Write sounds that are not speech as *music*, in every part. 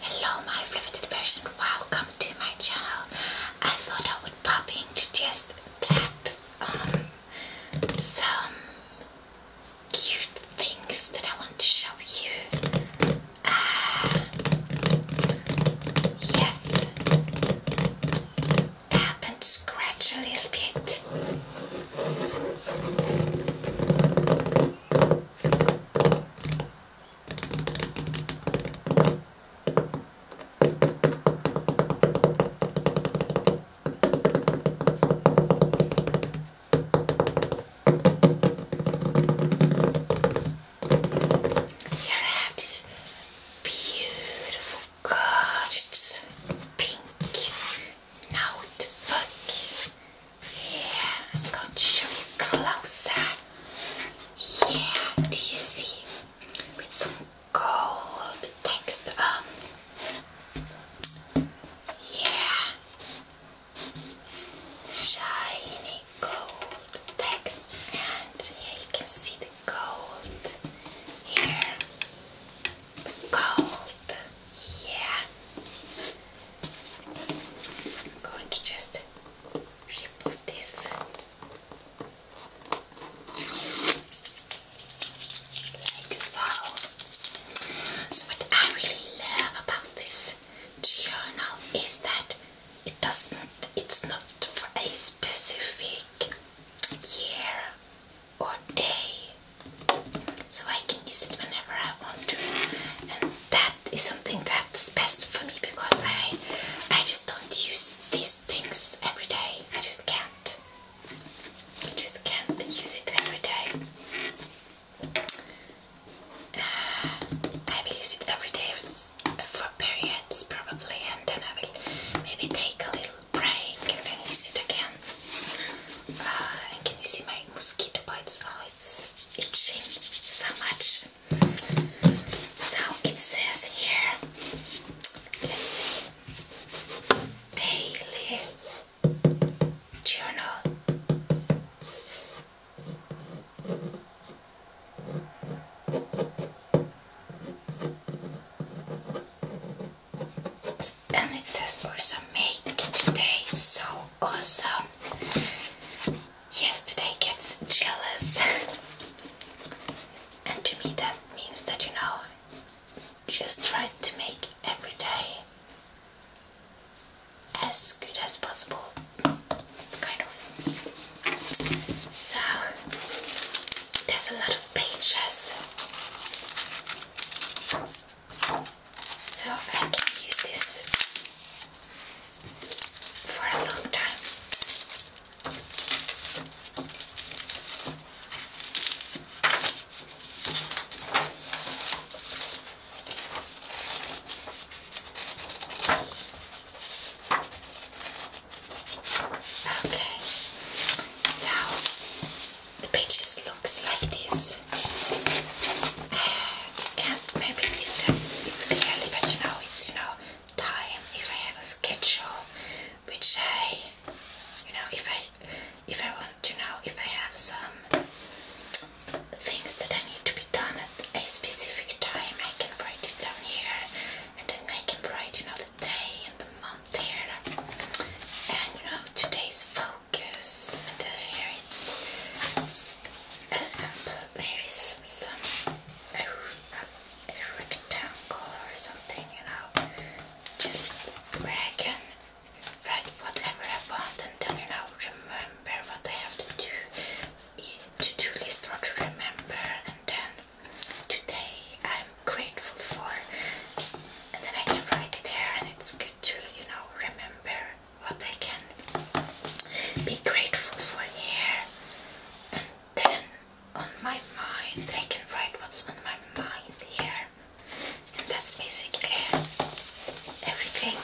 Hello my riveted person, welcome to my channel. I thought I would pop in to just tap on um, some cute things that I want to show you. Ah, yes, tap and scratch a little bit. Here I have this beautiful, gorgeous pink notebook yeah, I'm going to show you closer. Yeah, do you see? With some gold text on. Um, yeah. Shiny gold text. And here you can see the gold. Here. The gold. Yeah. I'm going to just remove this like so. So what I really love about this journal is that it doesn't it's not for a specific year or day. So I can use it whenever I want to and that is something that's best for me because I I just don't use these things every day. I just can't. I just can't use it every day. Uh, I will use it every day for periods probably and then I will maybe take a little break and then use it again. Uh, and can you see my mosquito bites? Oh, it's itching so much. So it says here, let's see, daily journal. And it says for some make today so awesome yesterday gets jealous. *laughs* and to me, that means that you know, just try to make every day as good as possible, kind of. So, there's a lot of pages. So I can use this for a long time. Okay, so the pages looks like this can't maybe see them, it's clearly, but you know, it's, you know, time, if I have a schedule, which I, you know, if I, if I want to know, if I have some things that I need to be done at a specific time, I can write it down here, and then I can write, you know, the day and the month here, and, you know, today's focus, and then here it's uh, maybe some rectangle or something, you know, just where I can write whatever I want and then, you know, remember what I have to do, to-do list or to remember, and then today I'm grateful for, and then I can write it here and it's good to, you know, remember what I can be grateful for here, and then on my mind, I can write what's on my mind here, and that's basically everything.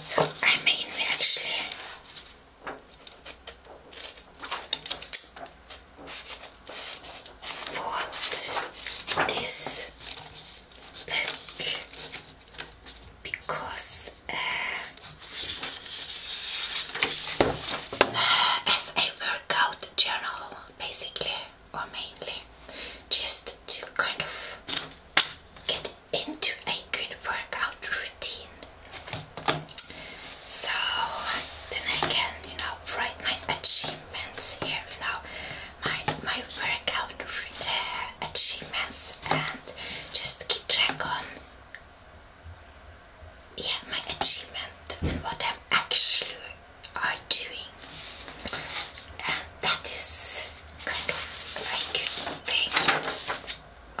So, I mean, actually what this because uh, as a workout journal, basically or mainly, just to kind of get into a good workout routine. So then I can, you know, write my achievements here, now my my workout uh, achievements and just keep track on yeah my achievement and what I'm actually are doing and that is kind of a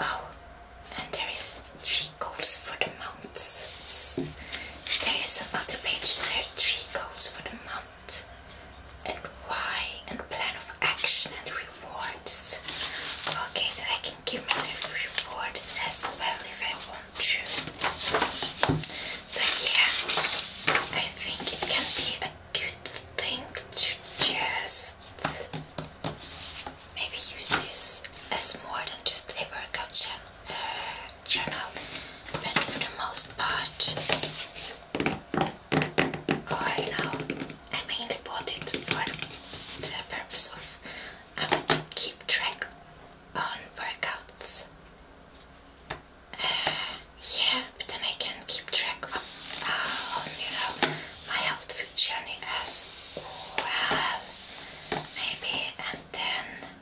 Oh, and there is three goals for the months. there is some other pages here. Three goals for the month and why and plan of action and rewards. Okay, so I can give myself rewards as well if I want to. So yeah, I think it can be a good thing to just maybe use this as more than just a workout channel, uh, journal but for the most part, I know I mainly bought it for the purpose of I um, keep track on workouts. Uh, yeah, but then I can keep track uh, on you know my health food journey as well, maybe, and then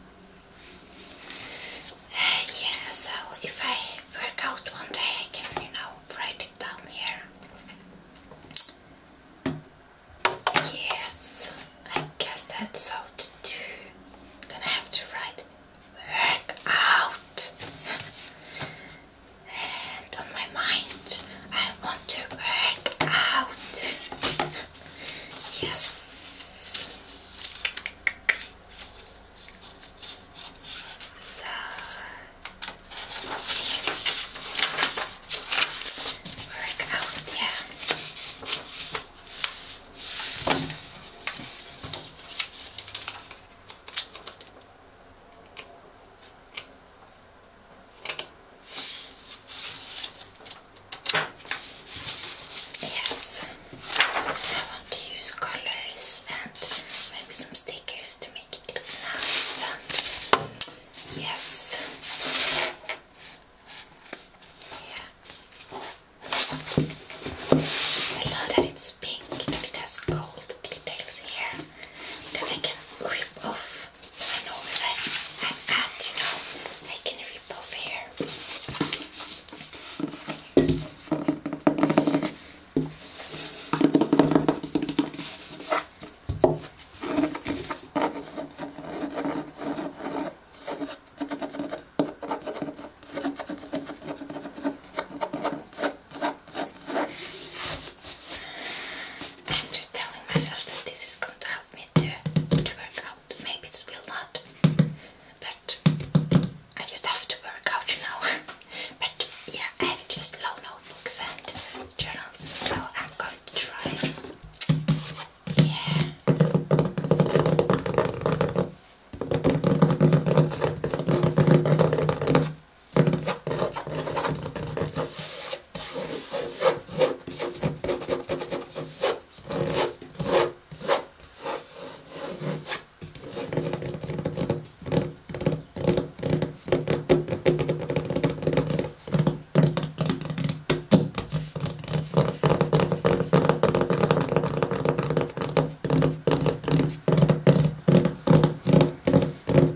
yeah, so if I work out one day, I can, you know, write it down here. Yes, I guess that's how to do. i have to write work out. and on my mind, I want to work out. yes. さあ work out yeah こ Yes, I want to use colors and maybe some stickers to make it nice. yes, yeah. I love that it's pink, that it has gold details here, that I can rip off. So I know where I, I'm know. I can rip off here. I'm just telling myself that this is going to help me to, to work out. Maybe it's will not but I just have to work out, you know. *laughs* but yeah, I have just low notebooks and journals, so I'm going to try. Yeah. I'm going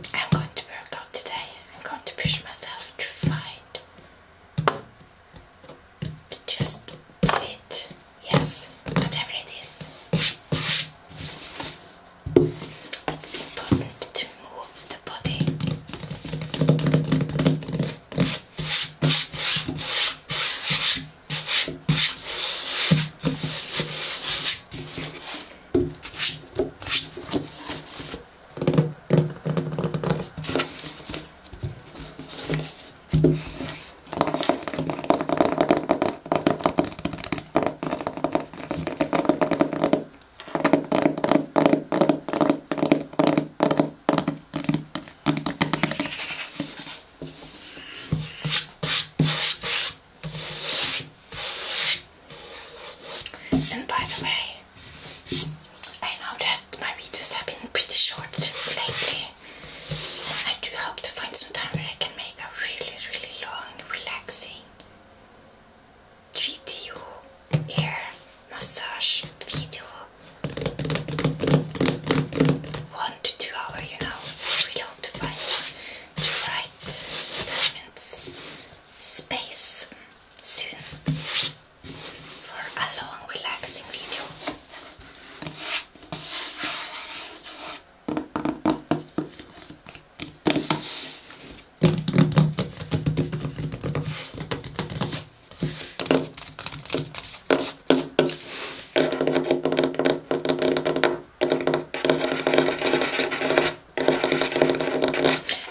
to work out today. I'm going to push myself to fight. Just do it. Yes, whatever it is. It's important to move the body. And by the way, I know that my videos have been pretty short lately. I do hope to find some time where I can make a really, really long, relaxing 3D ear massage video. One to two hour, you know. I really hope to find the right time and space soon for a long relaxing video.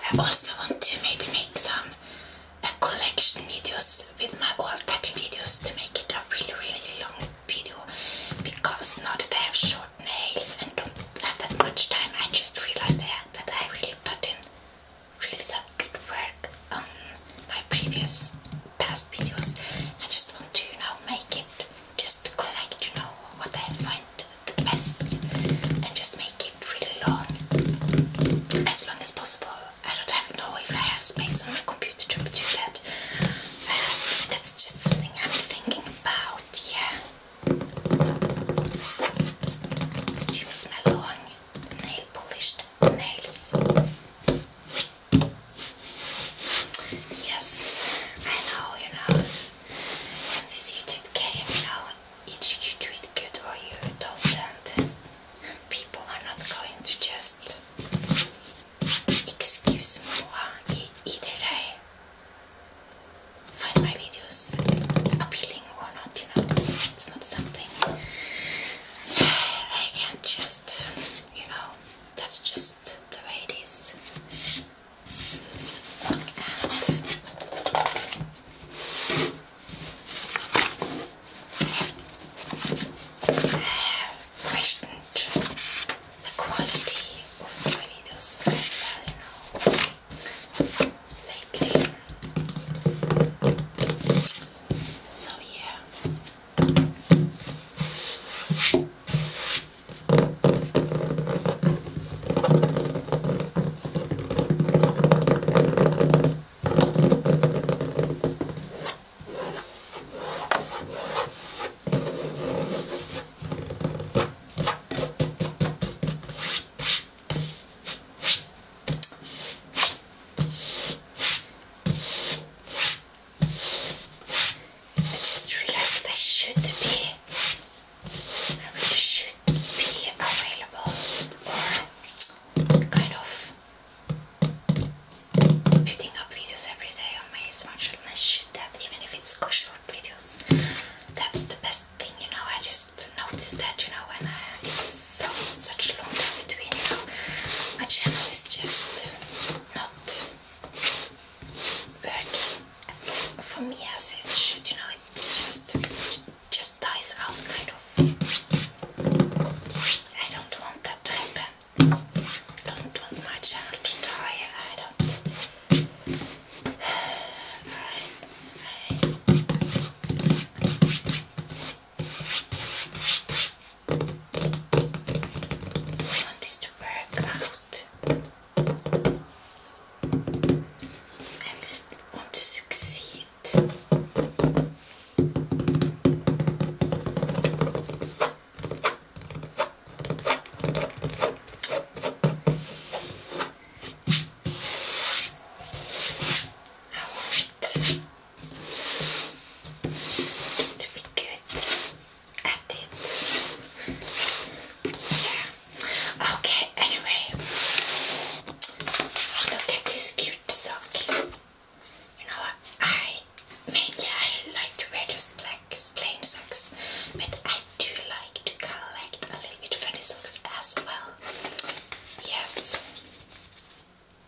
I also want to maybe make some a collection videos with my old tapping videos to make it a really really long video because now that I have short nails and don't have that much time I just realized that I really put in really some good work on my previous past videos I just want to you know make it just collect you know what I find the best and just make it really long as long as possible I don't have know if I have space on my computer to do that. Um, that's just something I'm thinking about. Yeah. Do my long nail polished nails? Yes, I know, you know. And this YouTube game, you know, either you do good or you don't people are not going to just excuse me either I find my videos appealing or not, you know. It's not something I can just, you know, that's just the way it is. *sighs* questioned the quality of my videos as you know, lately. So, yeah. I just realized that I should be, I really should be available kind of putting up videos every day on my ASMR channel. that even if it's short videos. That's the best thing, you know. I just noticed that, you know, when I, it's so such long time between, you know, my channel is just not working for me as it should, you know. It just just dies out, kind of. I don't want that to happen. I don't want my child to die. I don't. *sighs* I want this to work out. I just want to succeed to be good at it. Yeah. Okay, anyway. Look at this cute shirt, so cute. You know, I mainly like to wear just black plain socks, but I do like to collect a little bit funny socks as well. Yes,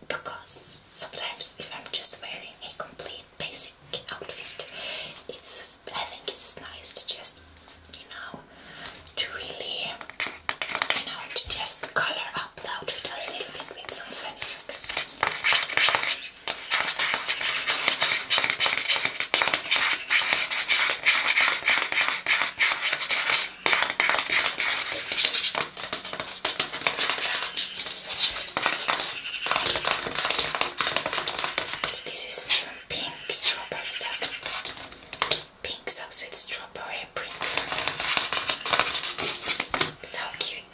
because sometimes if I'm just wearing a complete basic outfit, it's I think it's nice to just you know to really, you know, to just color up the outfit a little bit with some funny socks. So this is some pink strawberry socks pink socks with strawberry prints so cute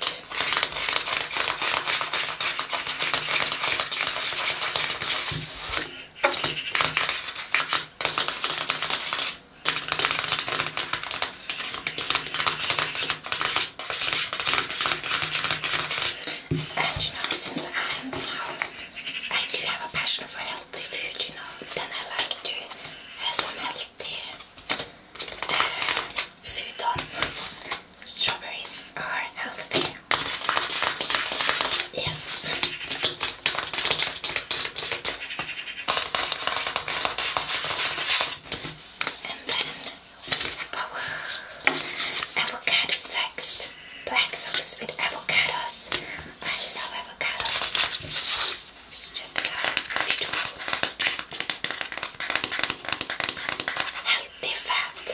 and you know, since I'm, um, I do have a passion for healthy food, you know. Then I like to have some healthy food on. Strawberries are healthy. Yes. And then oh, avocado sacks, black socks with avocados. I love avocados. It's just so beautiful. Healthy fat.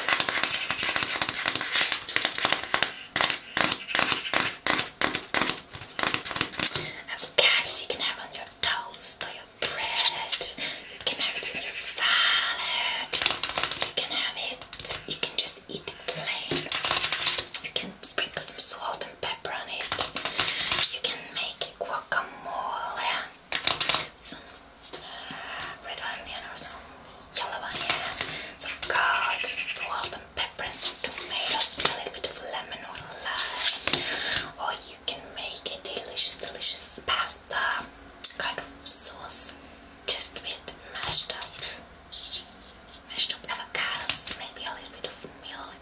Avocados you can have on your toast or your bread. You can have it in your salad. You can have it. You can just you can sprinkle some salt and pepper on it. You can make guacamole. Some uh, red onion or some yellow onion. Some garlic, some salt and pepper and some tomatoes. A little bit of lemon or lime. Or you can make a delicious, delicious pasta kind of sauce just with mashed up mashed up avocados, maybe a little bit of milk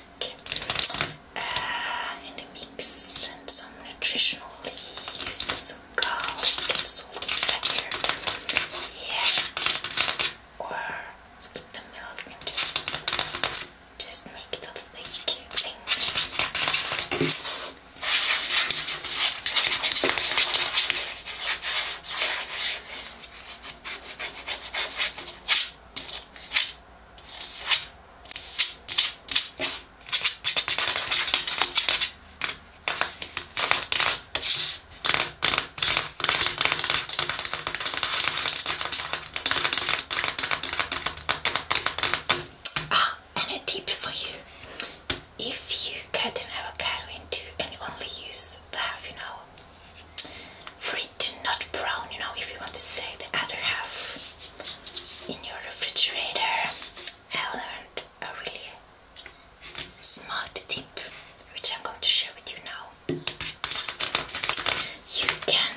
uh, in the mix, and some nutritional leaves, some garlic salt and pepper. Yeah, or skip the milk and just just make it a thing. Ah, and a tip for you. If you cut an avocado in two and only use the half, you know, for it to not brown, you know, if you want to save the other half in your refrigerator. I learned a really smart tip, which I'm going to share with you now. You can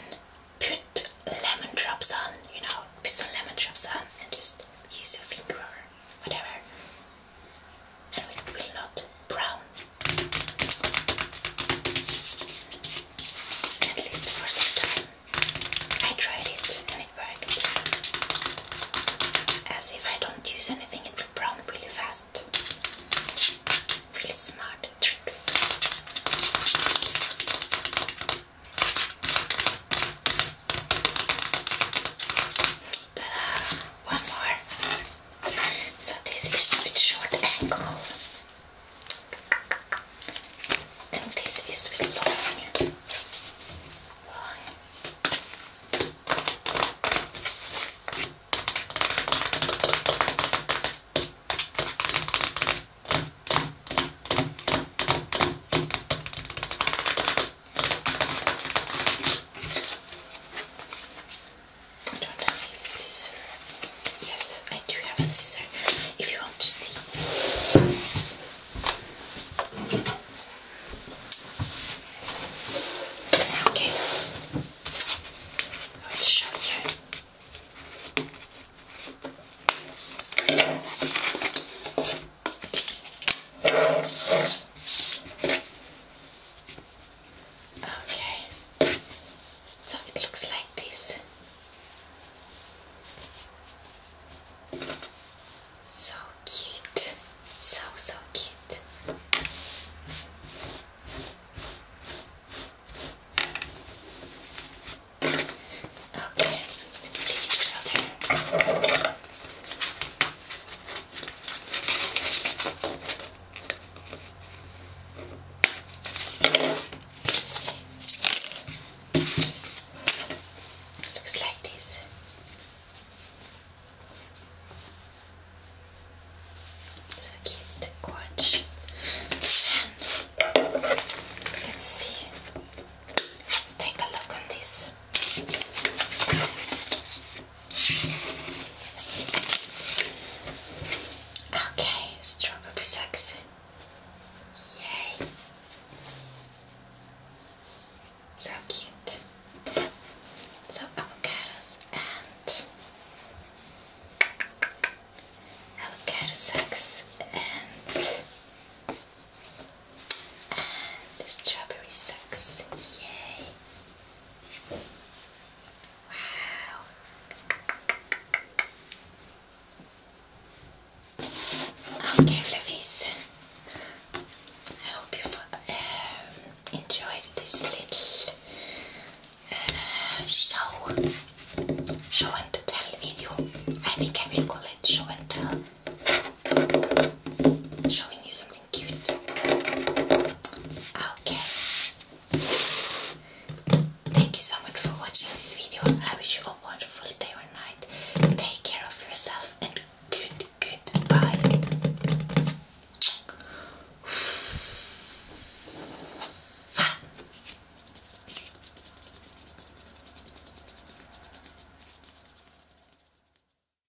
put lemon drops on, you know, put some lemon drops on and just use your finger or whatever and it will not brown. At least for some time. I tried it and it worked. As if I don't use anything, it will brown really fast. Really smart tricks. Ta-da! one more. So this is with short ankle, and this is with long. long. I don't have a scissor. Yes, I do have a scissor if you want to see. Okay, I'm show you. Okay, so it looks like this. So cute, so so cute. Okay, Looks like this. It's a cute watch. And let's see. Let's take a look on this. Okay, strawberry sex. Yay. So cute. So avocados and avocado sex and and strawberry sex. Yay. Okay, fluffies. I hope you uh, enjoyed this little uh, show, show and tell video. I think I will call it show and tell, showing you something. Okay. Thank you so much for watching this video. I wish you a wonderful day or night. Take care of yourself and good goodbye.